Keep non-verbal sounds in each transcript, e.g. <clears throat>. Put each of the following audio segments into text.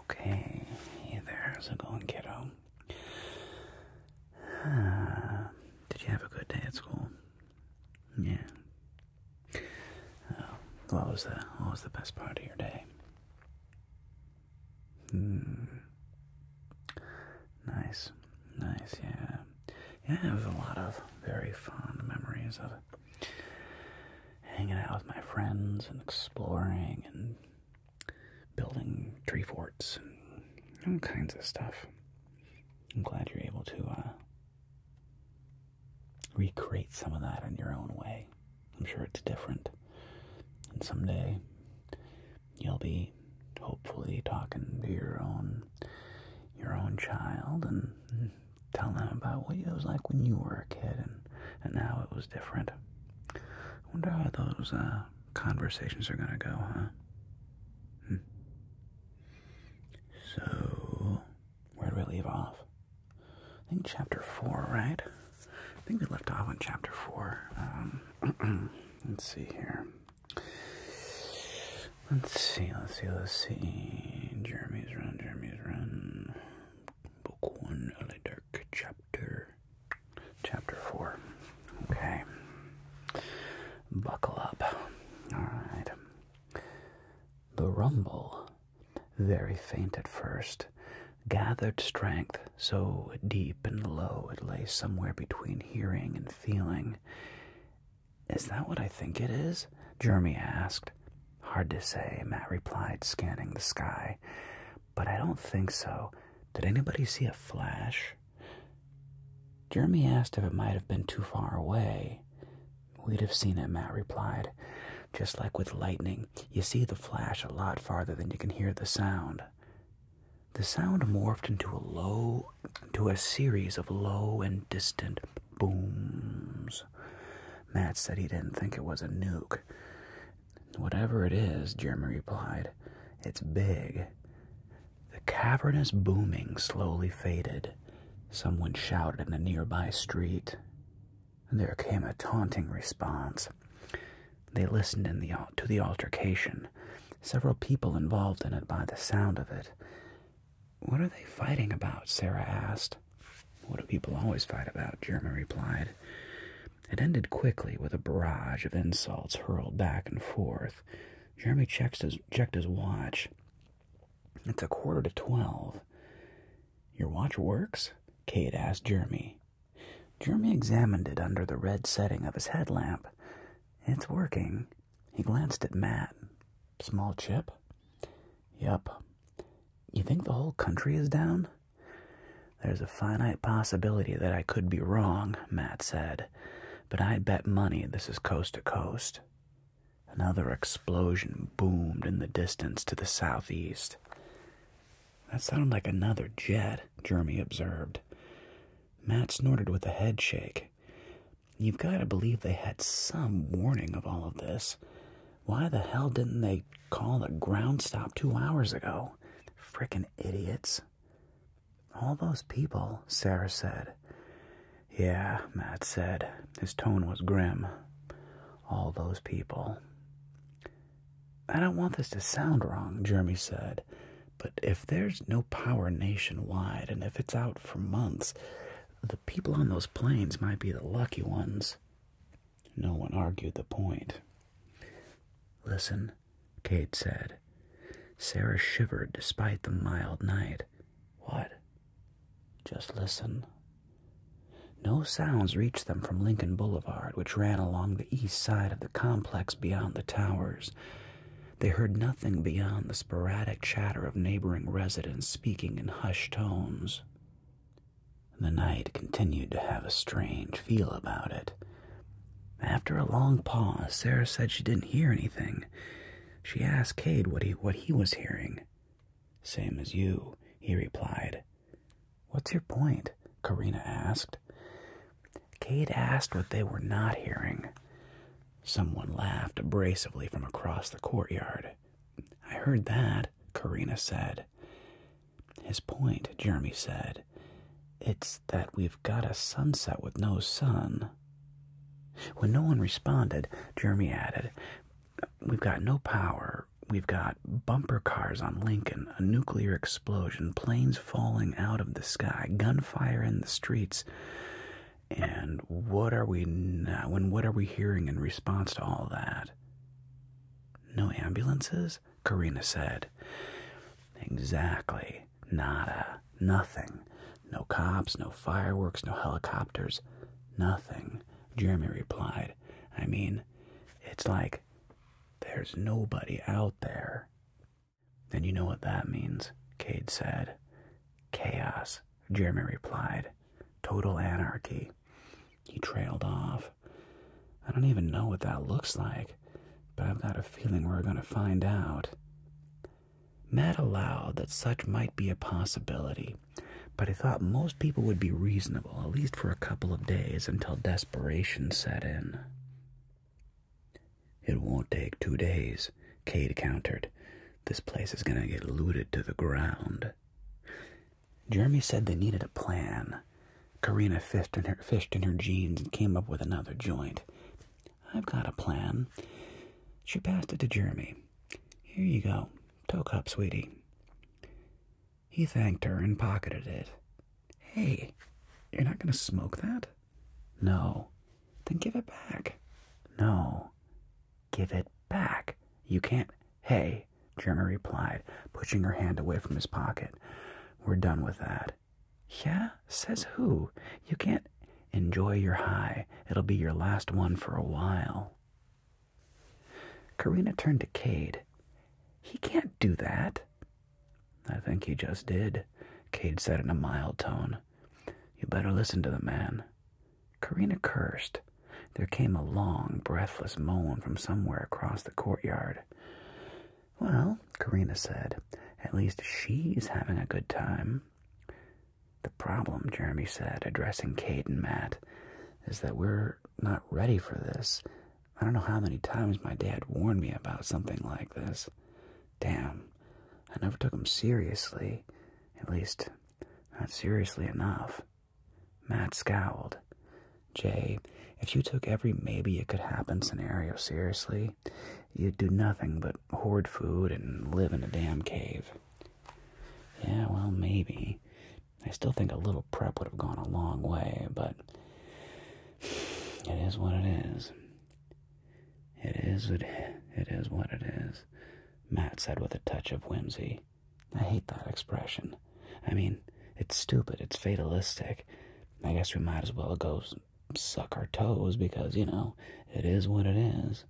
Okay, hey there, how's it going, kiddo? Uh, ah, did you have a good day at school? Yeah. Oh, what was the what was the best part of your day? Hmm. Nice, nice, yeah, yeah. It was a lot of very fond memories of it hanging out with my friends and exploring and building tree forts and all kinds of stuff. I'm glad you're able to uh, recreate some of that in your own way. I'm sure it's different. And someday you'll be hopefully talking to your own your own child and Tell them about what it was like when you were a kid and, and how it was different. I wonder how those uh, conversations are going to go, huh? Hmm. So, where do we leave off? I think chapter 4, right? I think we left off on chapter 4. Um, <clears throat> let's see here. Let's see, let's see, let's see. Jeremy's run, Jeremy's run. Book 1, Le Dark, Chapter, chapter 4. Okay. Buckle up. Alright. The rumble, very faint at first, gathered strength so deep and low it lay somewhere between hearing and feeling. Is that what I think it is? Jeremy asked, Hard to say, Matt replied, scanning the sky. But I don't think so. Did anybody see a flash? Jeremy asked if it might have been too far away. We'd have seen it, Matt replied. Just like with lightning, you see the flash a lot farther than you can hear the sound. The sound morphed into a low, to a series of low and distant booms. Matt said he didn't think it was a nuke. Whatever it is, Jeremy replied, it's big. The cavernous booming slowly faded. Someone shouted in the nearby street. There came a taunting response. They listened to the altercation, several people involved in it by the sound of it. What are they fighting about? Sarah asked. What do people always fight about? Jeremy replied. It ended quickly with a barrage of insults hurled back and forth. Jeremy checked his, checked his watch. It's a quarter to twelve. Your watch works? Kate asked Jeremy. Jeremy examined it under the red setting of his headlamp. It's working. He glanced at Matt. Small chip? Yep. You think the whole country is down? There's a finite possibility that I could be wrong, Matt said, but I'd bet money this is coast to coast. Another explosion boomed in the distance to the southeast. That sounded like another jet, Jeremy observed. Matt snorted with a head shake. You've got to believe they had some warning of all of this. Why the hell didn't they call the ground stop two hours ago? Frickin' idiots. All those people, Sarah said. Yeah, Matt said. His tone was grim. All those people. I don't want this to sound wrong, Jeremy said, but if there's no power nationwide and if it's out for months, the people on those planes might be the lucky ones. No one argued the point. Listen, Kate said. Sarah shivered despite the mild night. What? Just listen. No sounds reached them from Lincoln Boulevard, which ran along the east side of the complex beyond the towers. They heard nothing beyond the sporadic chatter of neighboring residents speaking in hushed tones. The night continued to have a strange feel about it. After a long pause, Sarah said she didn't hear anything. She asked Kade what he, what he was hearing. Same as you, he replied. What's your point? Karina asked. Kade asked what they were not hearing. Someone laughed abrasively from across the courtyard. I heard that, Karina said. His point, Jeremy said, it's that we've got a sunset with no sun. When no one responded, Jeremy added, We've got no power. We've got bumper cars on Lincoln, a nuclear explosion, planes falling out of the sky, gunfire in the streets and what are we now what are we hearing in response to all that no ambulances karina said exactly nada nothing no cops no fireworks no helicopters nothing jeremy replied i mean it's like there's nobody out there and you know what that means cade said chaos Jeremy replied. Total anarchy. He trailed off. I don't even know what that looks like, but I've got a feeling we're going to find out. Matt allowed that such might be a possibility, but he thought most people would be reasonable, at least for a couple of days, until desperation set in. It won't take two days, Kate countered. This place is gonna get looted to the ground. Jeremy said they needed a plan. Karina fished in her, jeans and came up with another joint. I've got a plan. She passed it to Jeremy. Here you go. toe-cup sweetie. He thanked her and pocketed it. Hey, you're not going to smoke that? No. Then give it back. No. Give it back. You can't. Hey, Jeremy replied, pushing her hand away from his pocket. We're done with that. Yeah? Says who? You can't. Enjoy your high. It'll be your last one for a while. Karina turned to Cade. He can't do that. I think he just did, Cade said in a mild tone. You better listen to the man. Karina cursed. There came a long, breathless moan from somewhere across the courtyard. Well, Karina said, at least she's having a good time. The problem, Jeremy said, addressing Kate and Matt, is that we're not ready for this. I don't know how many times my dad warned me about something like this. Damn, I never took him seriously. At least, not seriously enough. Matt scowled. Jay, if you took every maybe it could happen scenario seriously, you'd do nothing but hoard food and live in a damn cave. Yeah, well, maybe. I still think a little prep would have gone a long way, but <sighs> it is what it is. It is it, it is what it is. Matt said with a touch of whimsy. I hate that expression. I mean, it's stupid, it's fatalistic. I guess we might as well go suck our toes because, you know, it is what it is.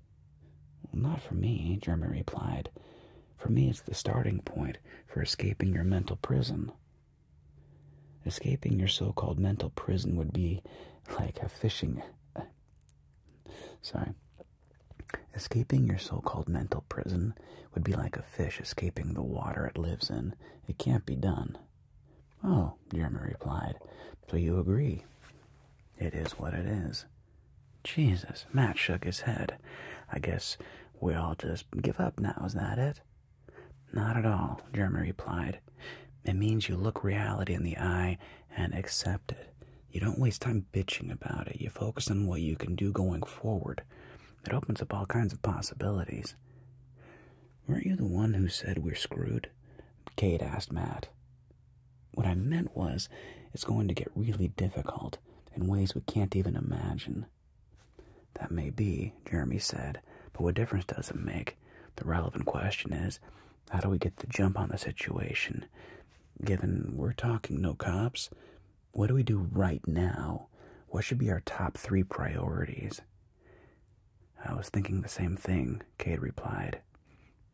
Not for me, Jeremy replied. For me, it's the starting point for escaping your mental prison. Escaping your so called mental prison would be like a fishing Sorry. Escaping your so called mental prison would be like a fish escaping the water it lives in. It can't be done. Oh, Jeremy replied. So you agree? It is what it is. Jesus, Matt shook his head. I guess we all just give up now, is that it? Not at all, Jeremy replied. It means you look reality in the eye and accept it. You don't waste time bitching about it. You focus on what you can do going forward. It opens up all kinds of possibilities. Weren't you the one who said we're screwed? Kate asked Matt. What I meant was, it's going to get really difficult in ways we can't even imagine. That may be, Jeremy said, but what difference does it make? The relevant question is, how do we get the jump on the situation? Given we're talking no cops, what do we do right now? What should be our top three priorities? I was thinking the same thing, Kate replied.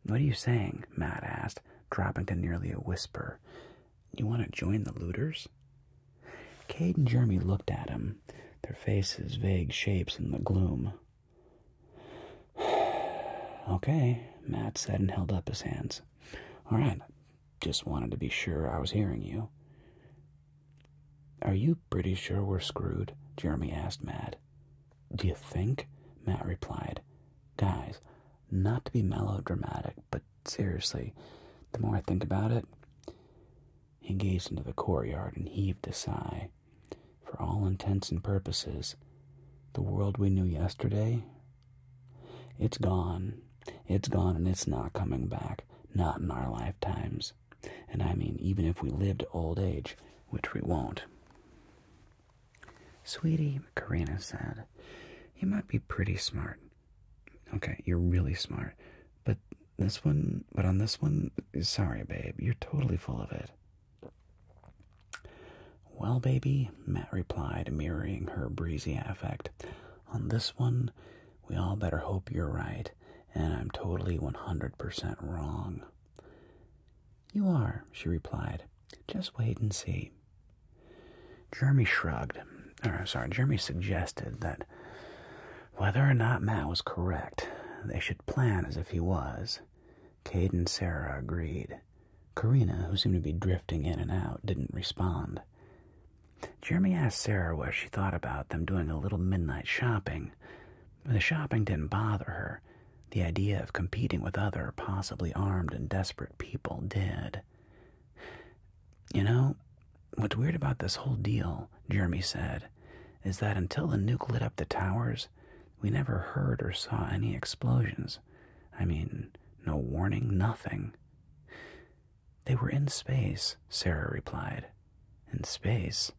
What are you saying? Matt asked, dropping to nearly a whisper. You want to join the looters? Kate and Jeremy looked at him, their faces vague shapes in the gloom. <sighs> okay, Matt said and held up his hands. All right, just wanted to be sure I was hearing you. Are you pretty sure we're screwed? Jeremy asked Matt. Do you think? Matt replied. Guys, not to be melodramatic, but seriously, the more I think about it, he gazed into the courtyard and heaved a sigh. For all intents and purposes, the world we knew yesterday, it's gone. It's gone and it's not coming back, not in our lifetimes. And I mean, even if we lived old age, which we won't. Sweetie, Karina said, you might be pretty smart. Okay, you're really smart. But this one, but on this one, sorry, babe, you're totally full of it. Well, baby, Matt replied, mirroring her breezy affect. On this one, we all better hope you're right, and I'm totally 100% wrong. You are, she replied. Just wait and see. Jeremy shrugged, or sorry, Jeremy suggested that whether or not Matt was correct, they should plan as if he was. Cade and Sarah agreed. Karina, who seemed to be drifting in and out, didn't respond. Jeremy asked Sarah what she thought about them doing a little midnight shopping. The shopping didn't bother her. The idea of competing with other, possibly armed and desperate people did. You know, what's weird about this whole deal, Jeremy said, is that until the nuke lit up the towers, we never heard or saw any explosions. I mean, no warning, nothing. They were in space, Sarah replied. In space?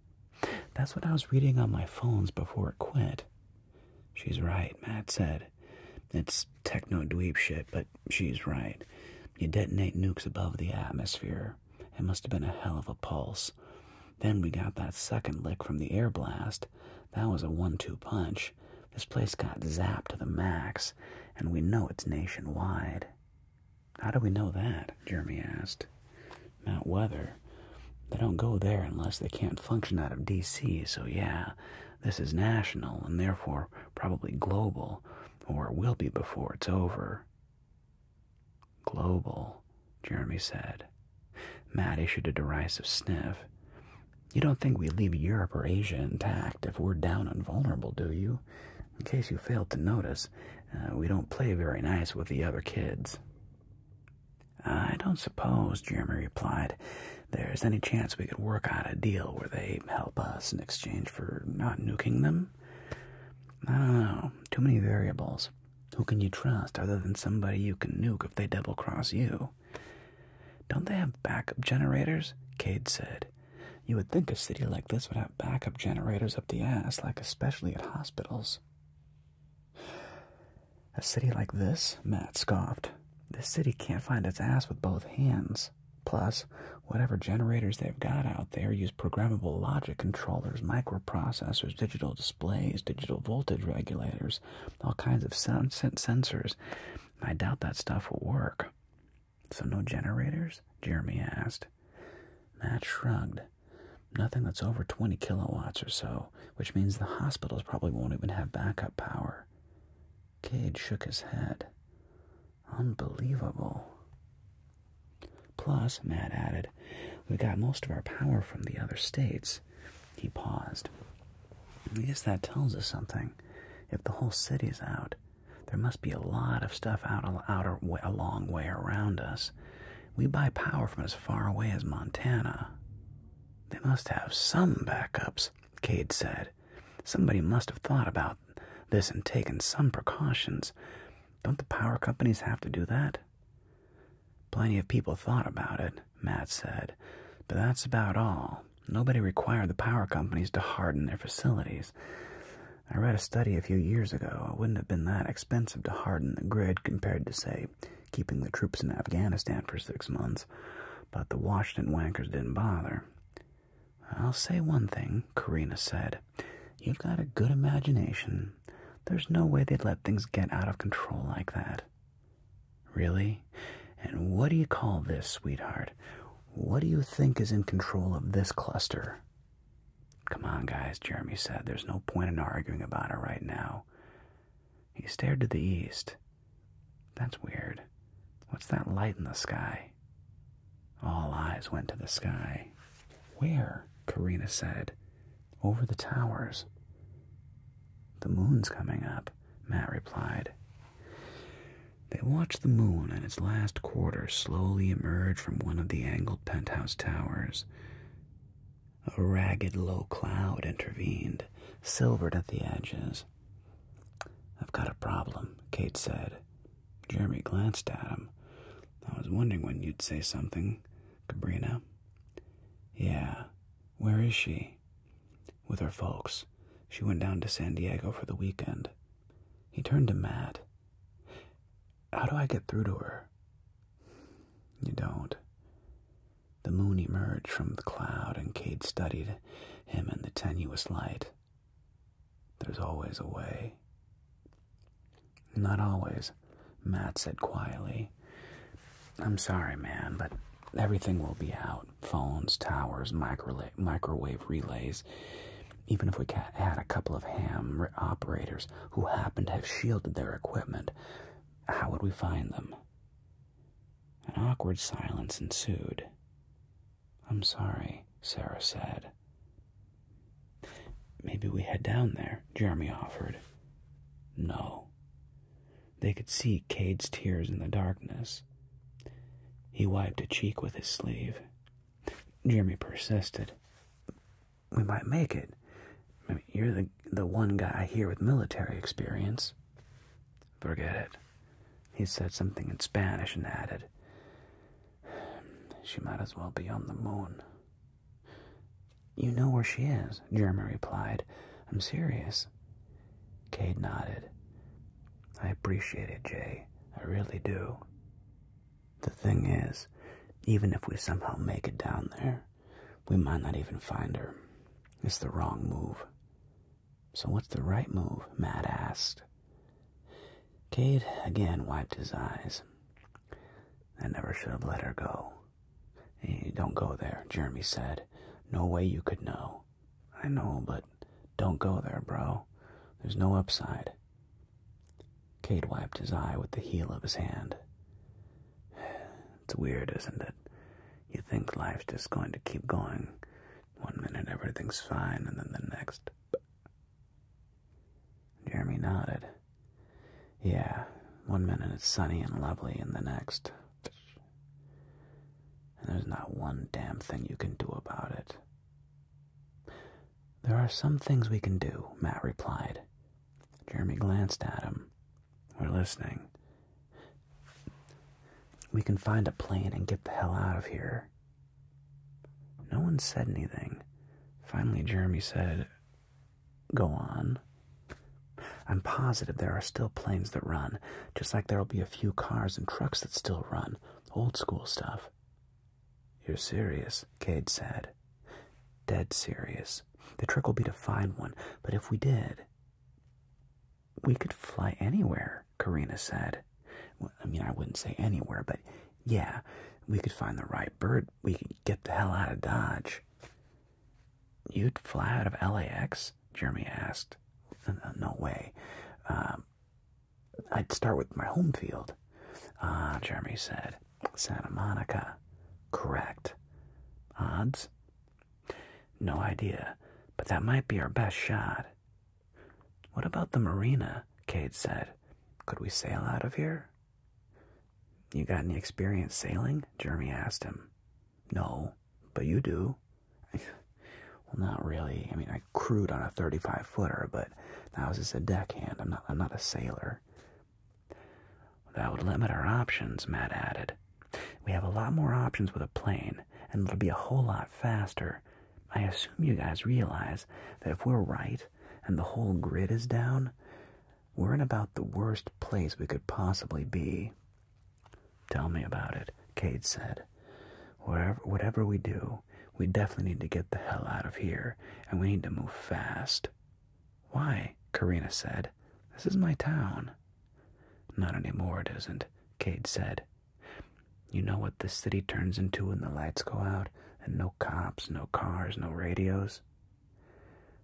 That's what I was reading on my phones before it quit. She's right, Matt said. It's techno dweeb shit, but she's right. You detonate nukes above the atmosphere. It must have been a hell of a pulse. Then we got that second lick from the air blast. That was a one two punch. This place got zapped to the max, and we know it's nationwide. How do we know that? Jeremy asked. Mount Weather. They don't go there unless they can't function out of D.C., so yeah, this is national and therefore probably global, or will be before it's over. Global, Jeremy said. Matt issued a derisive sniff. You don't think we leave Europe or Asia intact if we're down and vulnerable, do you? In case you failed to notice, uh, we don't play very nice with the other kids. I don't suppose, Jeremy replied, there's any chance we could work out a deal where they help us in exchange for not nuking them? I don't know. Too many variables. Who can you trust other than somebody you can nuke if they double cross you? Don't they have backup generators? Cade said. You would think a city like this would have backup generators up the ass, like especially at hospitals. A city like this? Matt scoffed. This city can't find its ass with both hands. Plus, whatever generators they've got out there use programmable logic controllers, microprocessors, digital displays digital voltage regulators, all kinds of sensors. I doubt that stuff will work. So, no generators? Jeremy asked. Matt shrugged. Nothing that's over 20 kilowatts or so, which means the hospitals probably won't even have backup power. Cade shook his head. Unbelievable. Plus, Matt added, we got most of our power from the other states. He paused. I guess that tells us something. If the whole city's out, there must be a lot of stuff out, a long way around us. We buy power from as far away as Montana. They must have some backups, Cade said. Somebody must have thought about this and taken some precautions. Don't the power companies have to do that? Plenty of people thought about it, Matt said, but that's about all. Nobody required the power companies to harden their facilities. I read a study a few years ago. It wouldn't have been that expensive to harden the grid compared to, say, keeping the troops in Afghanistan for six months, but the Washington wankers didn't bother. I'll say one thing, Karina said. You've got a good imagination. There's no way they'd let things get out of control like that. Really? And what do you call this, sweetheart? What do you think is in control of this cluster? Come on, guys, Jeremy said. There's no point in arguing about it right now. He stared to the east. That's weird. What's that light in the sky? All eyes went to the sky. Where? Karina said over the towers. The moon's coming up, Matt replied. They watched the moon and its last quarter slowly emerge from one of the angled penthouse towers. A ragged low cloud intervened, silvered at the edges. I've got a problem, Kate said. Jeremy glanced at him. I was wondering when you'd say something. Cabrina. Yeah, where is she? With her folks. She went down to San Diego for the weekend. He turned to Matt. How do I get through to her? You don't. The moon emerged from the cloud, and Cade studied him in the tenuous light. There's always a way, not always, Matt said quietly. I'm sorry, man, but everything will be out phones, towers, micro microwave relays. Even if we had a couple of ham operators who happened to have shielded their equipment, how would we find them? An awkward silence ensued. I'm sorry, Sarah said. Maybe we head down there, Jeremy offered. No. They could see Cade's tears in the darkness. He wiped a cheek with his sleeve. Jeremy persisted. We might make it. you're the, the one guy here with military experience. Forget it. He said something in Spanish and added, She might as well be on the moon. You know where she is, Jeremy replied. I'm serious. Cade nodded. I appreciate it, Jay. I really do. The thing is, even if we somehow make it down there, we might not even find her. It's the wrong move. So what's the right move? Matt asked. Cade again wiped his eyes. I never should have let her go. don't go there, Jeremy said. No way you could know. I know, but don't go there, bro. There's no upside. Kate wiped his eye with the heel of his hand. <sighs> It's weird, isn't it? You think life's just going to keep going. One minute everything's fine, and then the next. Jeremy nodded. Yeah, one minute it's sunny and lovely, and the next. And there's not one damn thing you can do about it. There are some things we can do, Matt replied. Jeremy glanced at him. We're listening. We can find a plane and get the hell out of here. No one said anything. Finally, Jeremy said, Go on. I'm positive there are still planes that run, just like there'll be a few cars and trucks that still run. Old school stuff. You're serious, Cade said. Dead serious. The trick will be to find one, but if we did. We could fly anywhere, Karina said. I mean, I wouldn't say anywhere, but yeah, we could find the right bird we could get the hell out of Dodge. You'd fly out of LAX? Jeremy asked. No way. Um, I'd start with my home field. Ah, Jeremy said. Santa Monica. Correct. Odds? No idea, but that might be our best shot. What about the marina? Kate said. Could we sail out of here? You got any experience sailing? Jeremy asked him. No, but you do. <laughs> well, not really. I mean, I crewed on a 35 footer, but that was just a deckhand. I'm not, I'm not a sailor. That would limit our options, Matt added. We have a lot more options with a plane, and it'll be a whole lot faster. I assume you guys realize that if we're right and the whole grid is down, we're in about the worst place we could possibly be. Tell me about it, Cade said. Whatever, whatever we do, we definitely need to get the hell out of here, and we need to move fast. Why? Karina said. This is my town. Not anymore, it isn't, Cade said. You know what this city turns into when the lights go out? and no cops, no cars, no radios.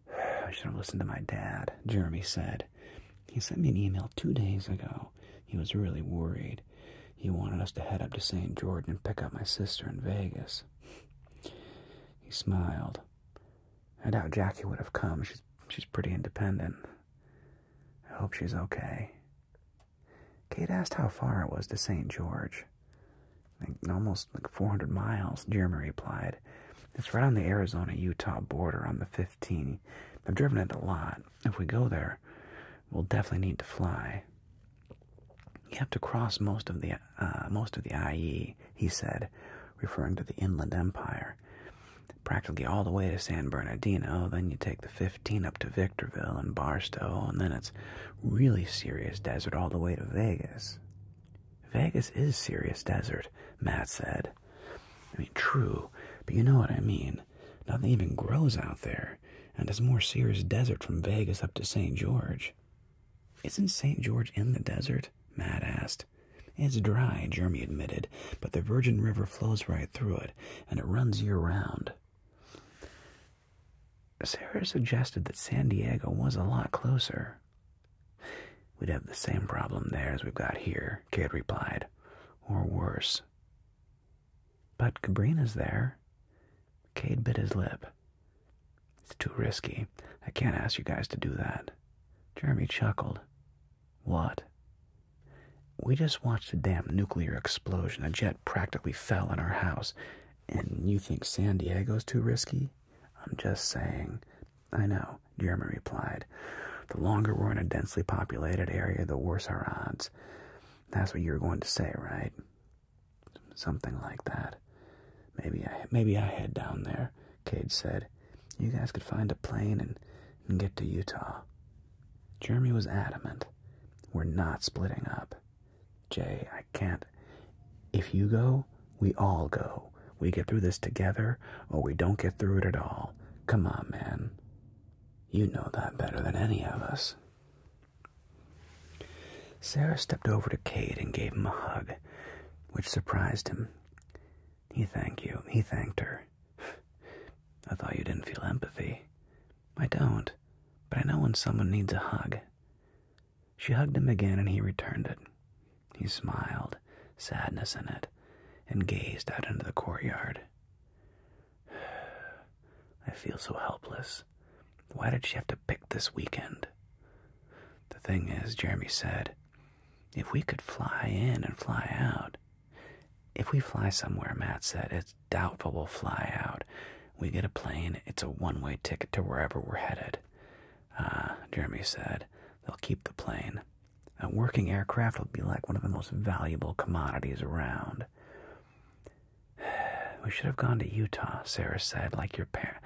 <sighs> I should have listened to my dad, Jeremy said. He sent me an email two days ago. He was really worried. He wanted us to head up to St. George and pick up my sister in Vegas. <sighs> He smiled. I doubt Jackie would have come. She's, she's pretty independent. I hope she's okay. Kate asked how far it was to St. George almost like 400 miles, Jeremy replied. It's right on the Arizona Utah border on the 15. I've driven it a lot. If we go there, we'll definitely need to fly. You have to cross most of the uh, most of the IE, he said, referring to the Inland Empire. Practically all the way to San Bernardino, then you take the 15 up to Victorville and Barstow, and then it's really serious desert all the way to Vegas. Vegas is serious desert, Matt said. I mean, true, but you know what I mean. Nothing even grows out there, and it's more serious desert from Vegas up to St. George. Isn't St. George in the desert? Matt asked. It's dry, Jeremy admitted, but the Virgin River flows right through it, and it runs year round. Sarah suggested that San Diego was a lot closer. We'd have the same problem there as we've got here, Kade replied, or worse. But Cabrina's there. Kade bit his lip. It's too risky. I can't ask you guys to do that. Jeremy chuckled. What? We just watched a damn nuclear explosion. A jet practically fell on our house, and you think San Diego's too risky? I'm just saying. I know, Jeremy replied. The longer we're in a densely populated area, the worse our odds. That's what you were going to say, right? Something like that. Maybe I maybe I head down there, Cade said. You guys could find a plane and, and get to Utah. Jeremy was adamant. We're not splitting up. Jay, I can't. If you go, we all go. We get through this together, or we don't get through it at all. Come on, man. You know that better than any of us. Sarah stepped over to Kate and gave him a hug, which surprised him. He thanked you. He thanked her. <sighs> I thought you didn't feel empathy. I don't, but I know when someone needs a hug. She hugged him again, and he returned it. He smiled, sadness in it, and gazed out into the courtyard. <sighs> I feel so helpless. Why did she have to pick this weekend? The thing is, Jeremy said, if we could fly in and fly out. If we fly somewhere, Matt said, it's doubtful we'll fly out. We get a plane, it's a one way ticket to wherever we're headed. Uh, Jeremy said, they'll keep the plane. A working aircraft will be like one of the most valuable commodities around. <sighs> We should have gone to Utah, Sarah said, like your par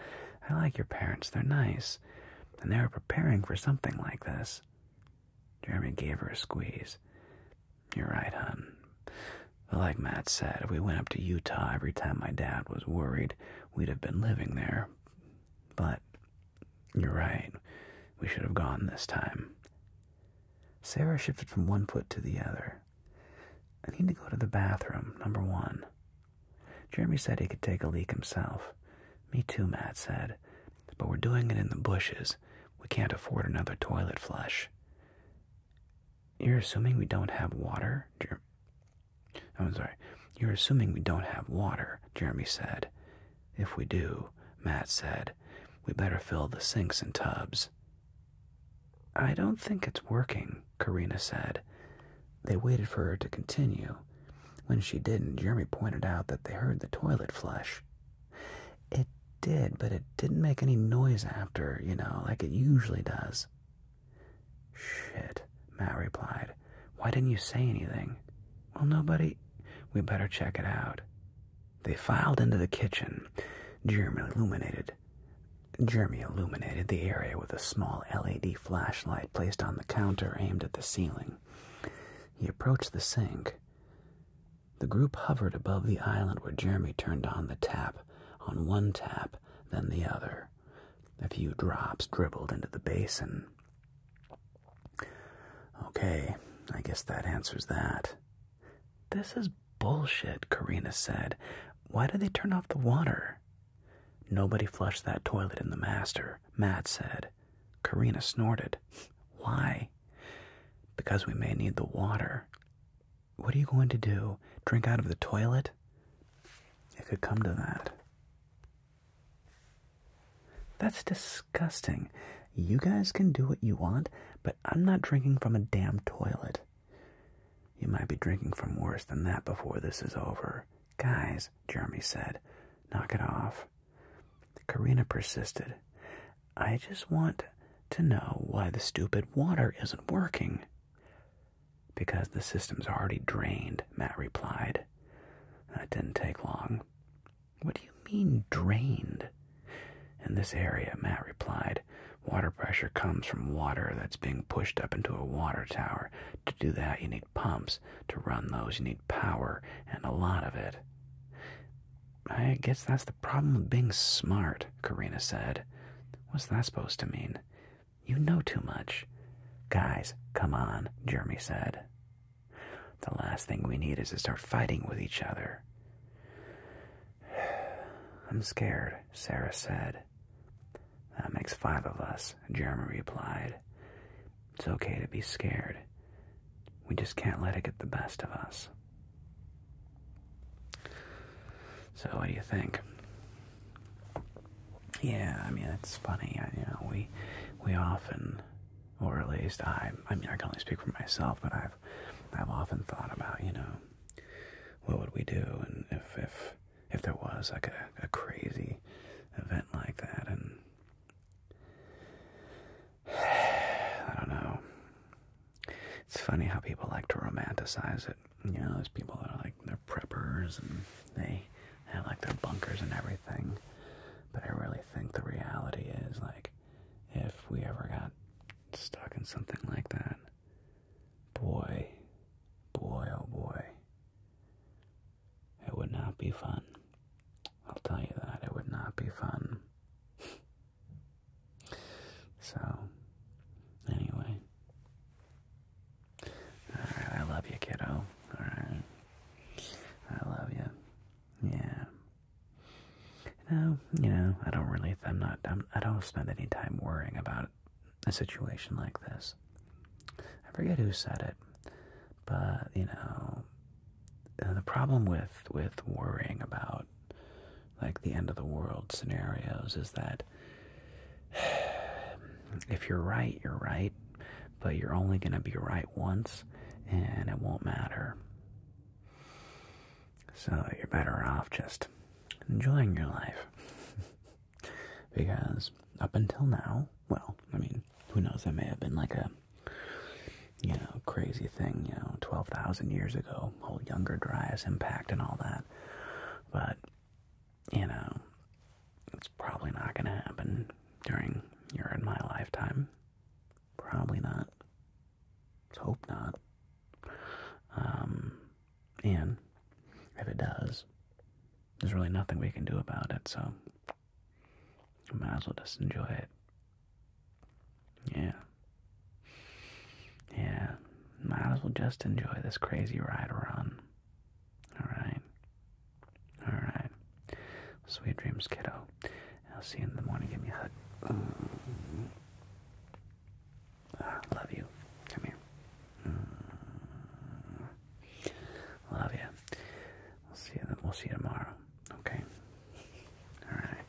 I like your parents, they're nice. And they were preparing for something like this. Jeremy gave her a squeeze. You're right, hon. But like Matt said, if we went up to Utah every time my dad was worried, we'd have been living there. But you're right. We should have gone this time. Sarah shifted from one foot to the other. I need to go to the bathroom, number one. Jeremy said he could take a leak himself. Me too, Matt said. But we're doing it in the bushes. We can't afford another toilet flush. You're assuming we don't have water? I'm sorry. You're assuming we don't have water, Jeremy said. If we do, Matt said, we better fill the sinks and tubs. I don't think it's working, Karina said. They waited for her to continue. When she didn't, Jeremy pointed out that they heard the toilet flush. It did, but it didn't make any noise after, you know, like it usually does. Shit, Matt replied. Why didn't you say anything? Well, nobody. We better check it out. They filed into the kitchen. Jeremy illuminated. Jeremy illuminated the area with a small LED flashlight placed on the counter aimed at the ceiling. He approached the sink. The group hovered above the island where Jeremy turned on the tap, on one tap, then the other. A few drops dribbled into the basin. Okay, I guess that answers that. This is bullshit, Karina said. Why did they turn off the water? Nobody flushed that toilet in the master, Matt said. Karina snorted. <laughs> Why? Because we may need the water. What are you going to do? Drink out of the toilet? It could come to that. That's disgusting. You guys can do what you want, but I'm not drinking from a damn toilet. You might be drinking from worse than that before this is over. Guys, Jeremy said, knock it off. Karina persisted. I just want to know why the stupid water isn't working. Because the system's already drained, Matt replied. That didn't take long. What do you mean, drained? In this area, Matt replied, water pressure comes from water that's being pushed up into a water tower. To do that, you need pumps. To run those, you need power, and a lot of it. I guess that's the problem with being smart, Karina said. What's that supposed to mean? You know too much. Guys, come on, Jeremy said. The last thing we need is to start fighting with each other. <sighs> I'm scared, Sarah said. That makes five of us, Jeremy replied. It's okay to be scared. We just can't let it get the best of us. So what do you think? Yeah, I mean it's funny. I, you know, we we often, or at least I, I mean I can only speak for myself, but I've I've often thought about you know what would we do, and if if if there was like a, crazy event like that, and <sighs> I don't know. It's funny how people like to romanticize it. You know, there's people that are like, they're preppers and they have like their bunkers and everything. But I really think the reality is like, if we ever got stuck in something like that, boy, boy, oh boy, it would not be fun. I'll tell you that, it would not be fun. <laughs> So, anyway. Alright, I love you, kiddo. Alright. I love you. Yeah. No, you know, I don't really, I'm not, I'm, I am not i i do not spend any time worrying about a situation like this. I forget who said it, but, you know, the problem with, with worrying about like the end of the world scenarios is that <sighs> if you're right, you're right, but you're only going to be right once and it won't matter. So you're better off just enjoying your life. <laughs> because up until now, well, I mean, who knows, I may have been like a you know, crazy thing, you know, 12,000 years ago, whole Younger Dryas impact and all that. But, you know, it's probably not going to happen during your in my lifetime. Probably not. hope not. Um, and if it does, there's really nothing we can do about it, so might as well just enjoy it yeah. Yeah. Might as well just enjoy this crazy ride we Alright. Alright. Sweet dreams, kiddo. I'll see you in the morning. Give me a hug. Mm. love you. Come here. Mm. Love you. We'll see you. We'll see you tomorrow. Okay. All right.